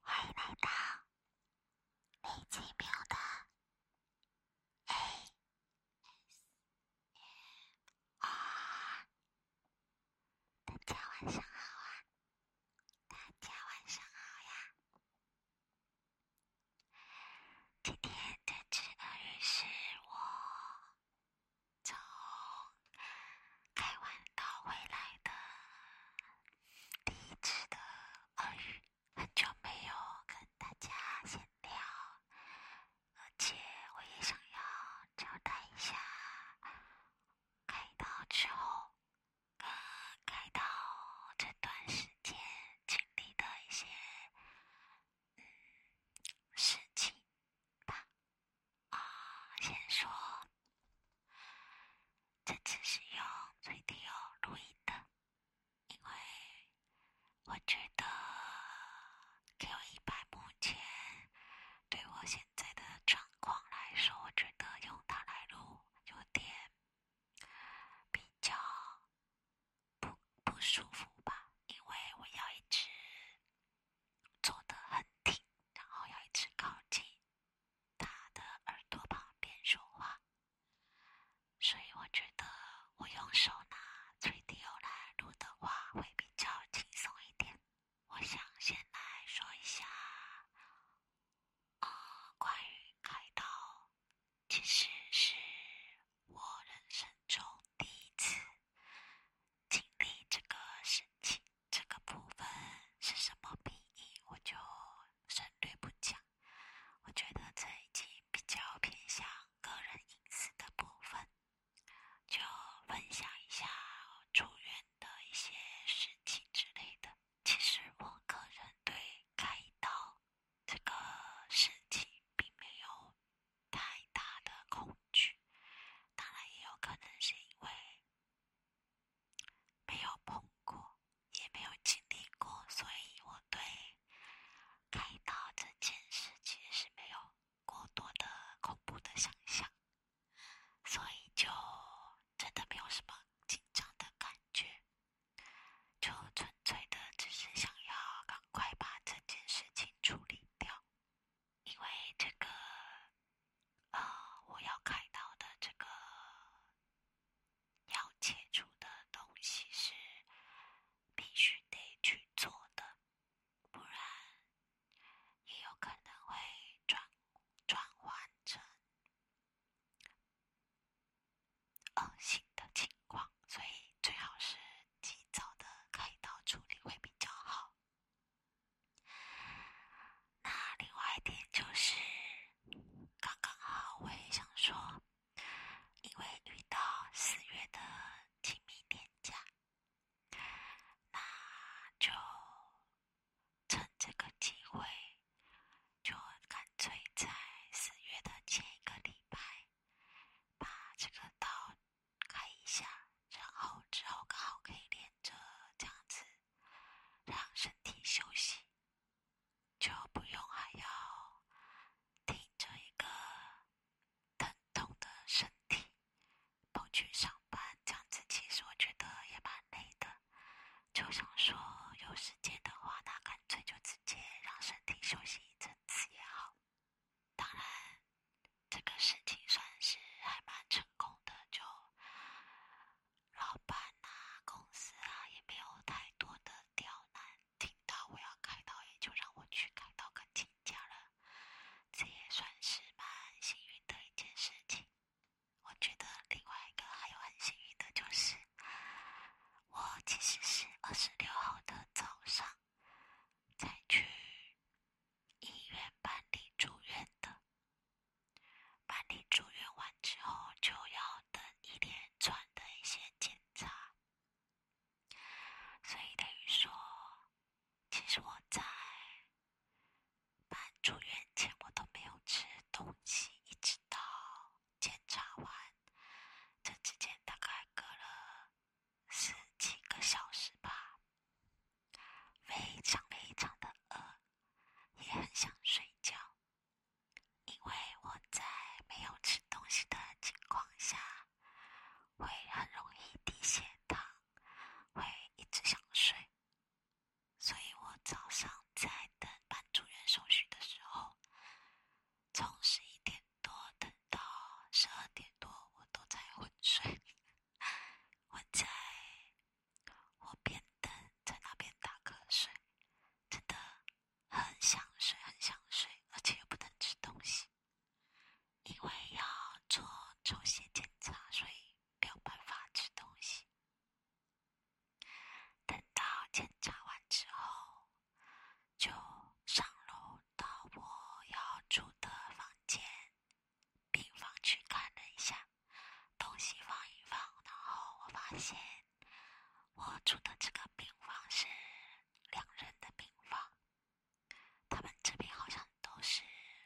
欢迎来到李奇妙的 AS。大家晚上好啊！大家晚上好呀！今天这只鳄鱼是我从开完到回来的第一只的鳄鱼，很久没有跟大家闲聊。而且我也想要交代一下，开刀之后跟开刀这段时间经历的一些嗯事情吧。啊，先说，这次是用最低音录音的，因为。我觉得 Q 一百目前对我现在的状况来说，我觉得用它来录有点比较不不舒服吧，因为我要一直坐得很挺，然后要一直靠近它的耳朵旁边说话，所以我觉得我用手拿。最近又来录的话，会比较轻松一点。我想先来说一下，呃，关于开刀，其实是我人生中第一次经历这个事情。这个部分是什么笔译，我就省略不讲。我觉得这一集比较偏向个人隐私的部分。就分享一下住院的一些事情之类的。其实我个人对开刀这个事情并没有太大的恐惧，当然也有可能是因为没有碰过，也没有经历过，所以我对开刀这件事其实是没有。过多的恐怖的想象，所以就真的没有什么紧张的感觉，就纯粹的只是想要赶快把这件事情处理掉，因为这个呃，我要开刀的这个要切除的东西是必须得去做的。不然，也有可能会转转换成恶性的情况，所以最好是及早的开刀处理会比较好。那另外一点就是，刚刚好我也想说，因为遇到四月的。清明天假，那就趁这个机会，就干脆在四月的前一个礼拜把这个刀开一下，然后之后刚好可以连着这样子让身体休息，就不用还要听这一个。疼痛的身体，跑去上班，这样子其实我觉得也蛮累的。就想说，有时间的话，那干脆就直接让身体休息一阵子也好。当然，这个事情算是还蛮成功的，就老板啊、公司啊也没有太多的刁难。听到我要开刀，也就让我去开刀跟请假了，这也算是蛮幸运的一件事情。我觉得另外一个还有很幸运的就是，我其实是二十六号的早上才去医院办理住院的。办理住院完之后，就要等一连串的一些检查。所以等于说，其实我在办住院前我都没有吃东西，一直到检查完，这之间大概隔了十几个小时吧，非常非常的饿，也很想睡觉，因为我在没有吃东西的情况下。会很容易低血糖，会一直想睡。所以我早上在等办住院手续的时候，从十一点多等到十二点多，我都在昏睡。我在，我边等在那边打瞌睡，真的很想睡，很想睡，而且又不能吃东西。因为要做抽血检查，所以没有办法吃东西。等到检查完之后，就上楼到我要住的房间病房去看了一下，东西放一放，然后我发现我住的这个病房是两人的病房。他们这边好像都是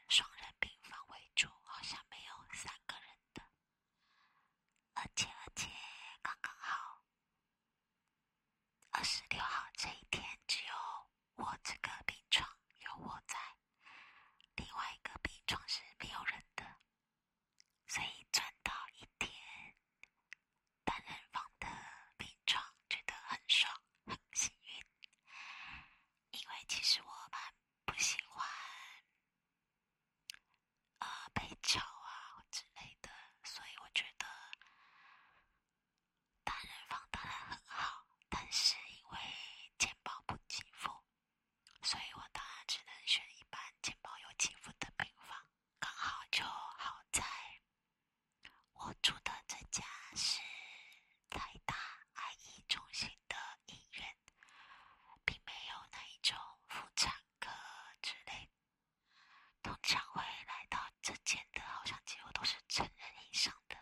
双人病房为主，好像没有三个人的。而且而且刚刚好，二十六号这一天只有我这个病床有我在，另外一个病床是没有人的，所以转到一天。单人房的病床觉得很爽，很幸运。因为其实我蛮不喜欢呃被吵啊之类的，所以我觉得单人房当然很好，但是因为钱包不起伏，所以我当然只能选一般钱包有起伏的病房。刚好就好在我住的这家是财大爱医中心的医院，并没有那一种妇产科之类。通常会来到这间的好像几乎都是成人以上的，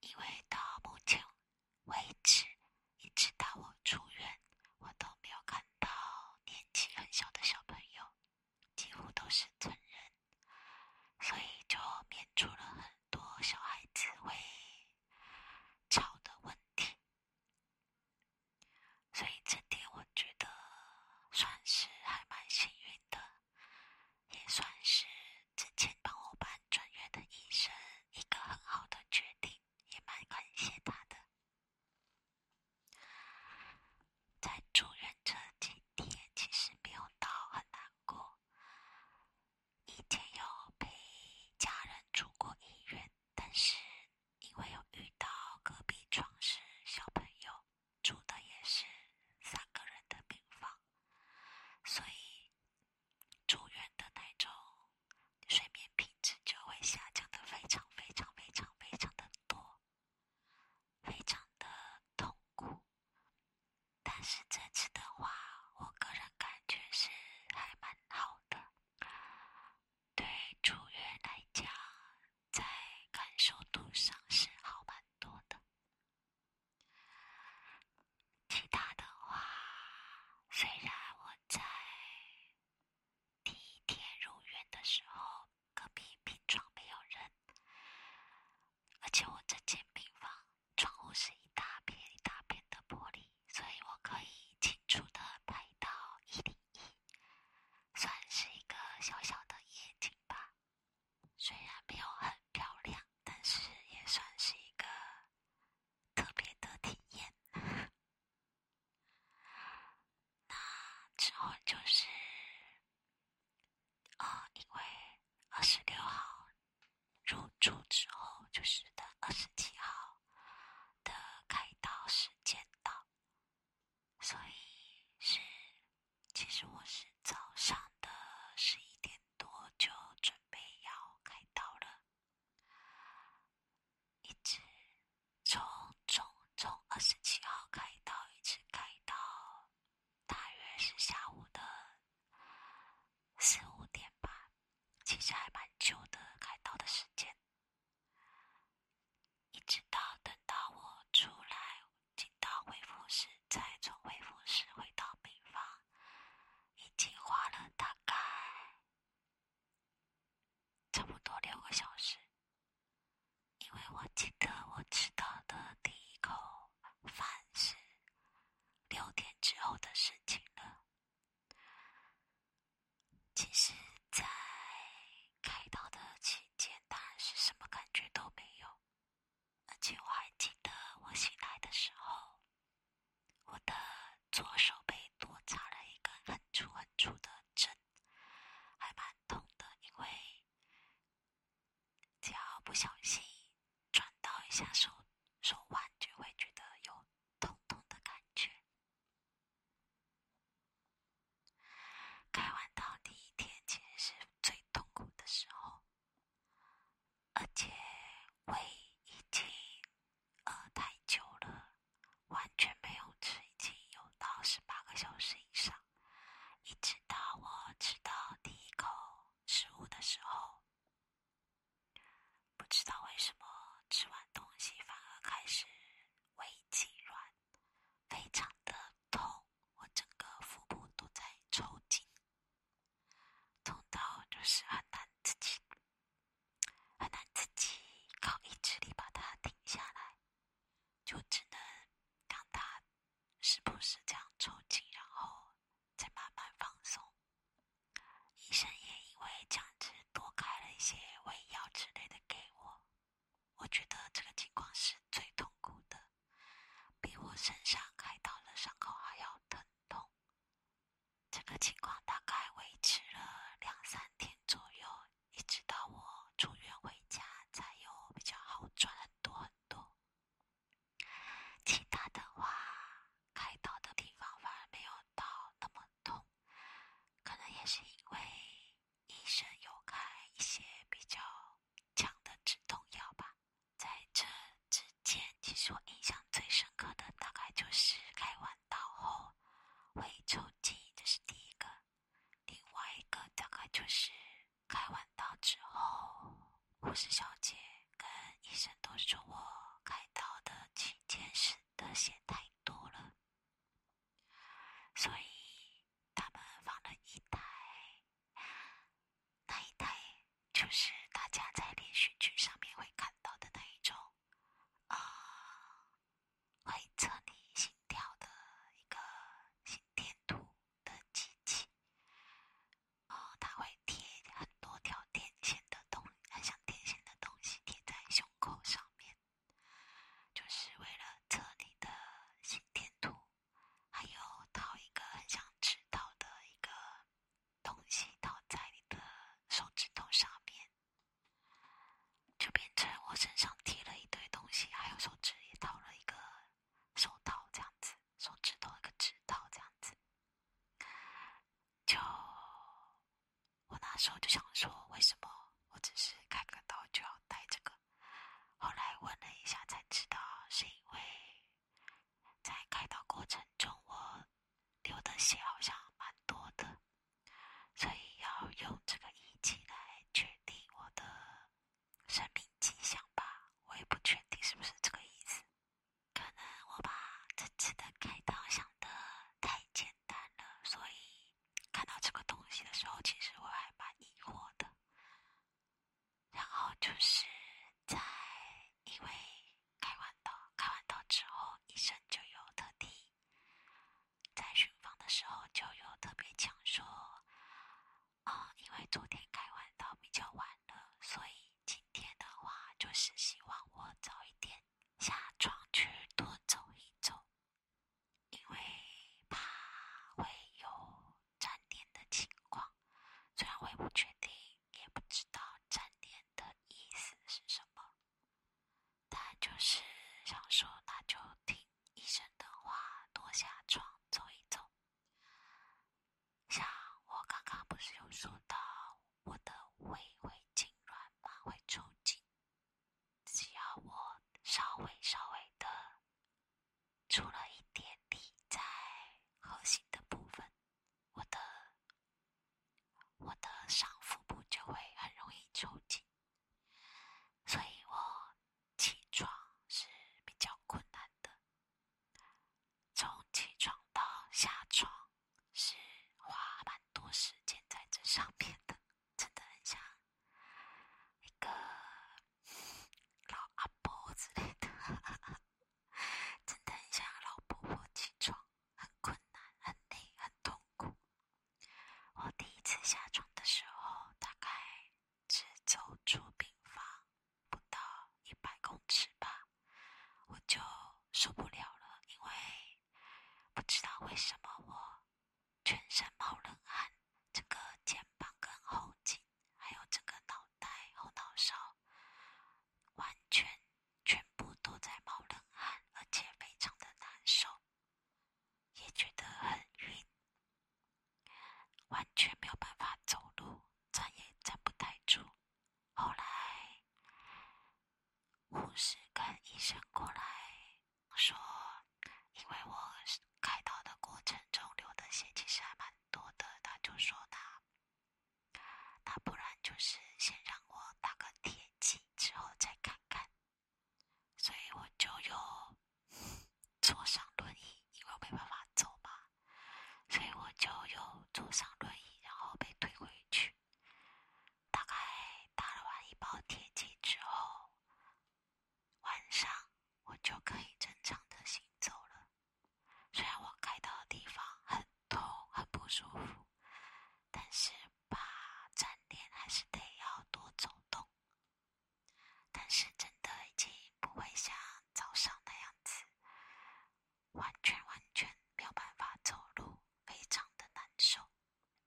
因为到目前为止，一直到我出院，我都没有看到年纪很小的小朋友。几乎都是成人，所以就免除了很多小孩子会吵的问题。所以这点我觉得算是还蛮幸运的，也算是之前帮我办转院的医生一个很好的决定，也蛮感谢他的。在住院这几天，其实没有到很难过。以前有陪家人住过医院，但是因为有遇到隔壁床是小朋友，住的也是三个人的病房，所以住院的那种睡眠品质就会下降的非常非常非常非常的多。非常的痛苦，但是这次的话，我个人感觉是还蛮好的。对出院来讲，在感受度上是好蛮多的。其他的话，虽然我在。第一天入院的时候，隔壁病床没有人，而且我这间病房窗户是一大片一大片的玻璃，所以我可以清楚的拍到一零一，算是一个小小的夜景吧。虽然没有很漂亮，但是也算是一个特别的体验。那之后就是，呃，因为二十六号入住之后，就是等二十七号的开刀时间到，所以是，其实我是早上的十一点多就准备要开刀了，一直。从从从二十七号开刀一直开到大约是下午的四五点吧，其实还蛮久的开刀的时间，一直到等到我出来进到恢复室，再从恢复室回到病房，已经花了大概。差不多六个小时，因为我记得我吃到的第一口饭是六天之后的事情了。其实，在开刀的期间，当然是什么感觉都没有，而且我还记得我醒来的时候，我的左手被多插了一根很粗很粗的针。还蛮痛的，因为只要不小心转到一下手手腕，就会觉得有痛痛的感觉。开完刀第一天其实是最痛苦的时候，而且胃已经饿太久了。完全没有吃，已经有到十八个小时以上，一直到我吃到第一口食物的时候，不知道为什么吃完东西反而开始胃痉挛，非常的痛，我整个腹部都在抽筋，痛到就是很难自己，很难自己靠意志力把它停下来。就只能让他时不时这样抽筋，然后再慢慢放松。医生也因为这样子多开了一些胃药之类的给我。我觉得这个情况是最痛苦的，比我身上开刀的伤口还要疼痛。这个情况大概维持了两三天左右。一直到我出院回家才有比较好，转很多很多。其他的话，开刀的地方反而没有到那么痛，可能也是因为医生有开一些比较强的止痛药吧。在这之前，其实我印象最深刻的大概就是开完刀后会抽筋，这是第一个。另外一个大概就是开完刀之后，护士小姐跟医生都说我开刀的期间是的血太多了，所以他们放了一台，那一台就是大家在连续剧上面会看到的那一种。啊，会测你心跳的一个心电图的机器，呃，它会贴很多条电线的东，很像电线的东西贴在胸口上面，就是为了测你的心电图，还有套一个很想知道的一个东西套在你的手指头上面。就变成我身上贴了一堆东西，还有手指也套了一个手套，这样子，手指头一个指套，这样子。就我那时候就想说，为什么我只是开个刀就要戴这个？后来问了一下才知道，是因为在开刀过程中我流的血好像蛮多的。所以要用这个仪器来确定我的生命迹象吧？我也不确定是不是这个意思。可能我把这次的开刀想的太简单了，所以看到这个东西的时候，其实我还蛮疑惑的。然后就是在因为开完刀，开完刀之后医生就有特地。在巡访的时候就有特别讲说，哦，因为昨天开完到比较晚了，所以今天的话就是希望我早一点下床去多走一走，因为怕会有粘连的情况。虽然会不确定，也不知道粘连的意思是什么。他就是想说，那就听医生的话，多下床走一走。像我刚刚不是有说到，我的胃会痉挛吗？会抽筋。只要我稍微稍微的出了一点力，在核心的部分，我的我的上腹部就会很容易抽筋。所以，我起床是比较困难的。从起床到下床，是花蛮多时间在这上面的。真的很像一个老阿婆之类的，真的很像老婆婆起床，很困难、很累、很痛苦。我第一次下床的时候，大概只走出病房不到一百公尺吧，我就受不了了，因为不知道为什么我全身冒冷汗，整个肩膀跟后颈，还有整个脑袋后脑勺，完全全部都在冒冷汗，而且非常的难受。也觉得很晕，完全没有办法走路，站也站不太住。后来护士跟医生过来说，因为我开刀的过程中流的血其实还蛮多的，他就说他，那不然就是先让我打个铁剂，之后再看看。所以我就又坐上轮椅，因为我没办法走嘛。所以我就又坐上轮椅，然后被推回去。大概打了完一包铁剂之后，晚上我就可以正常的行走了。虽然我开到的地方很痛、很不舒服，但是……吧，站点还是得要多走动，但是真的已经不会像早上那样子，完全完全没有办法走路，非常的难受。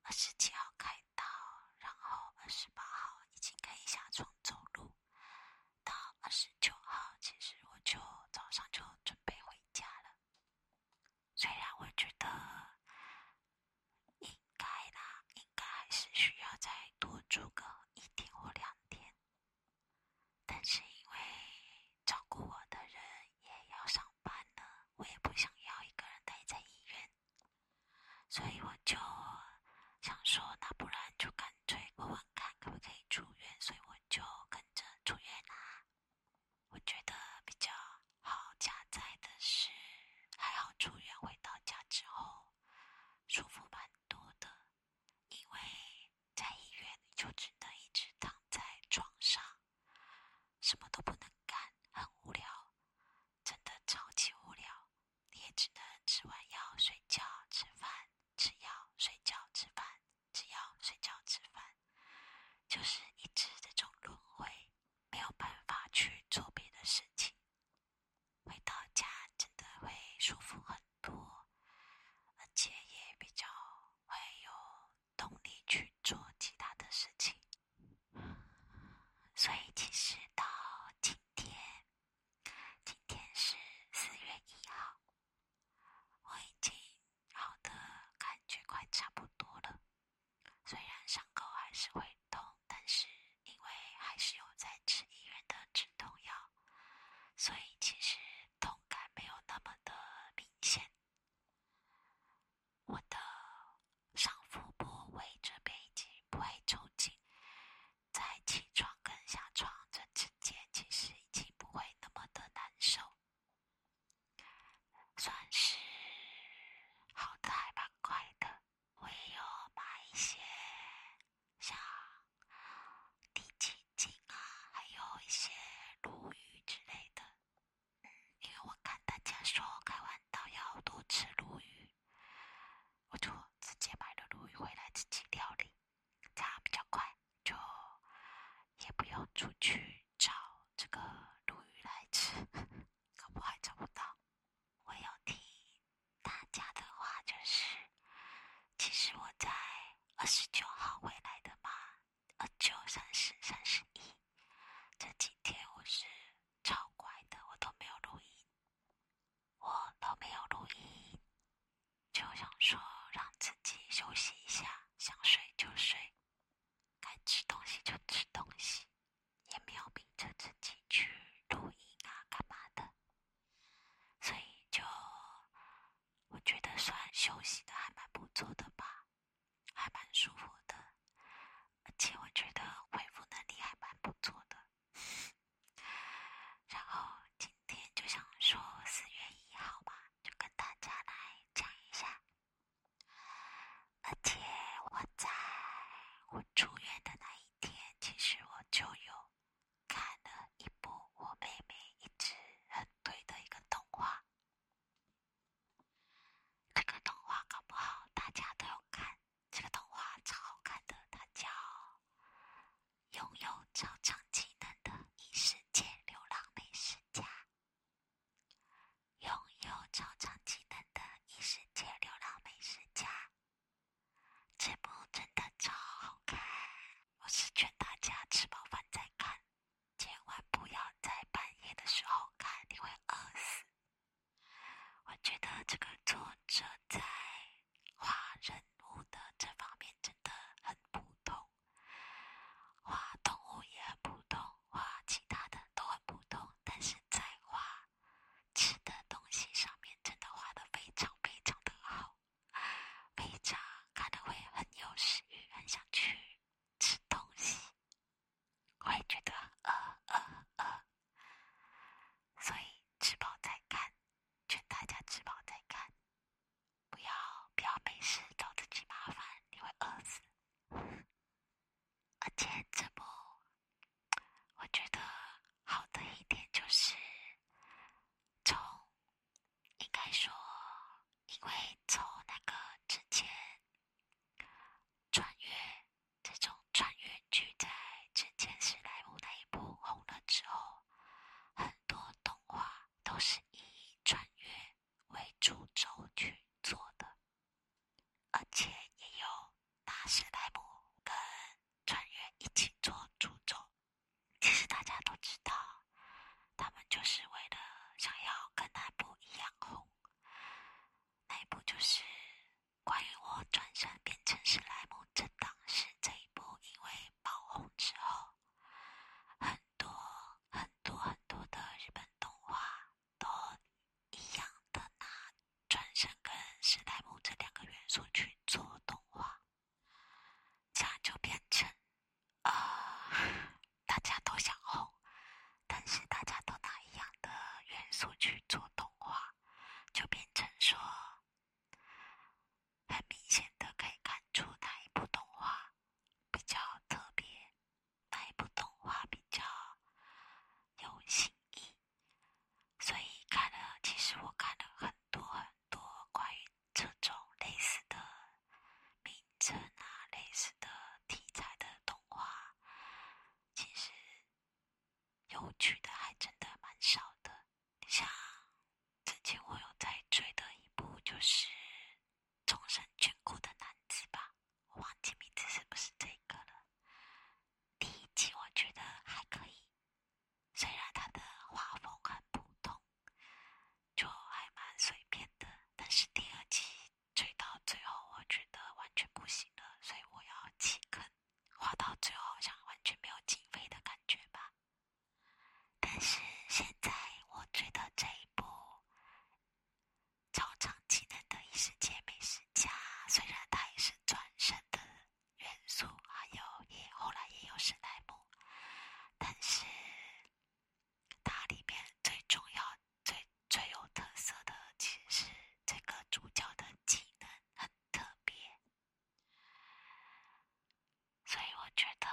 二十七号开刀，然后二十八号已经可以下床走路，到二十九号其实我就早上就准备回家了。虽然我觉得应该啦，应该还是需要再多住个一天或两天，但是因为照顾我的人也要上班呢，我也不想要一个人待在医院，所以我就想说，那不然就干脆问问看可不可以出院，所以我就跟着出院啦。我觉得比较好加载的是，还好出院回到家之后，舒服蛮多的。因为在医院就只能一直躺在床上，什么都不能干，很无聊，真的超级无聊。你也只能吃完药睡觉、吃饭、吃药、睡觉、吃饭、吃药、睡觉、吃饭。就是一直这种轮回，没有办法去做别的事情。回到家真的会舒服很多，而且也比较会有动力去做其他的事情。所以其实到今天，今天是四月一号，我已经好的感觉快差不多了。虽然伤口还是会痛，但是因为还是有在吃医院的止痛药，所以其实痛感没有那么的明显。我的上腹部位这边已经不会抽筋，在起床跟下床这之间，其实已经不会那么的难受。算是好的还蛮快的，我也有买一些像地鸡精啊，还有一些鲈鱼之类的。嗯，因为我看大家说开完刀要多吃鲈鱼，我就直接买了鲈鱼回来自己料理，这样比较快，就也不用出去。找这个鲈鱼来吃，可不还找不到。我要听大家的话，就是，其实我在二十九号回来的嘛，二九、三十、三十一，这几天我是超乖的，我都没有录音，我都没有录音，就想说让自己休息一下，想睡就睡。该吃东西就吃东西，也没有逼着自己去录音啊、干嘛的，所以就我觉得算休息的还蛮不错的吧，还蛮舒服的，而且我觉得恢复能力还蛮不错的。然后今天就想说四月一号嘛，就跟大家来讲一下。而且我在我出院的那一天，其实我就有看了一部我妹妹一直很推的一个动画。这个动画搞不好大家都有看，这个动画超好看的，它叫《拥有超长技能的异世界流浪美食家》。拥有超长技能的异世界流浪美食家，这部真的超好看。我是劝大家吃饱饭再看，千万不要在半夜的时候看，你会饿死。我觉得这个作者在画人物的这方面真的很普通。画动物也很普通，画其他的都很普通，但是在画吃的东西上面真的画的非常非常的好，非常看的会很有食欲，很想去吃东西，会觉得饿饿饿，所以吃饱再看，劝大家吃饱再看。不要不要没事找自己麻烦，你会饿死。而且这部我觉得好的一点就是，从应该说，因为从那个之前穿越，这种穿越剧在之前史莱姆那一部红了之后，很多动画都是以穿越。为主轴去做的，而且也有大史莱姆跟穿员一起做诅咒。其实大家都知道，他们就是为了想要跟那部一样红。一部就是关于我转身变成史莱姆这档事这一部，因为爆红之后。很多很多很多的日本动画，都一样的拿《转身跟史莱姆》这两个元素去做动画，这样就变成呃，大家都想红，但是大家都拿一样的元素去做动画，就变成说，很明显的可以看出哪一部动画比较特别。那一部动画比较有新意，所以看了。其实我看了很多很多关于这种类似的名称啊、类似的题材的动画，其实有趣的还真的蛮少的。像之前我有在追的一部就是。终身眷顾的男子吧，我忘记名字是不是这个了。第一季我觉得还可以，虽然他的画风很普通，就还蛮随便的，但是第二季追到最后，我觉得完全不行了，所以我要弃坑。画到最后好像完全没有经费的感觉吧。但是现在我觉得这一部超长技能的异世界美食家，虽然它也是转身的元素，还有也后来也有史莱姆，但是它里面最重要、最最有特色的，其实是这个主角的技能很特别，所以我觉得。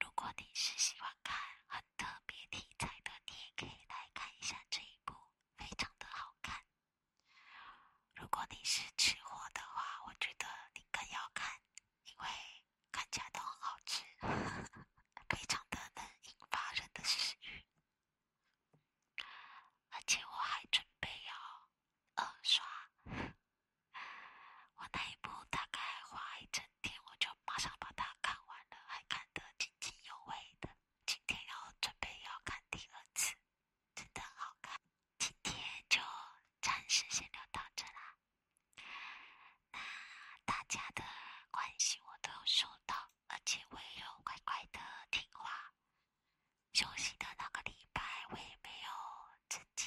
如果你是喜欢看很特别题材的，你也可以来看一下这一部，非常的好看。如果你是吃货的话，我觉得你更要看，因为看起来都很好吃，非常的能引发人的食欲。而且我还准备要二刷。我那一部大概花一整天，我就马上把它看完了，还看得津津有味的。今天要准备要看第二次，真的好看。今天就暂时先聊到这啦。那大家的关系我都有收到，而且我也有乖乖的听话，休息的那个礼拜我也没有自己。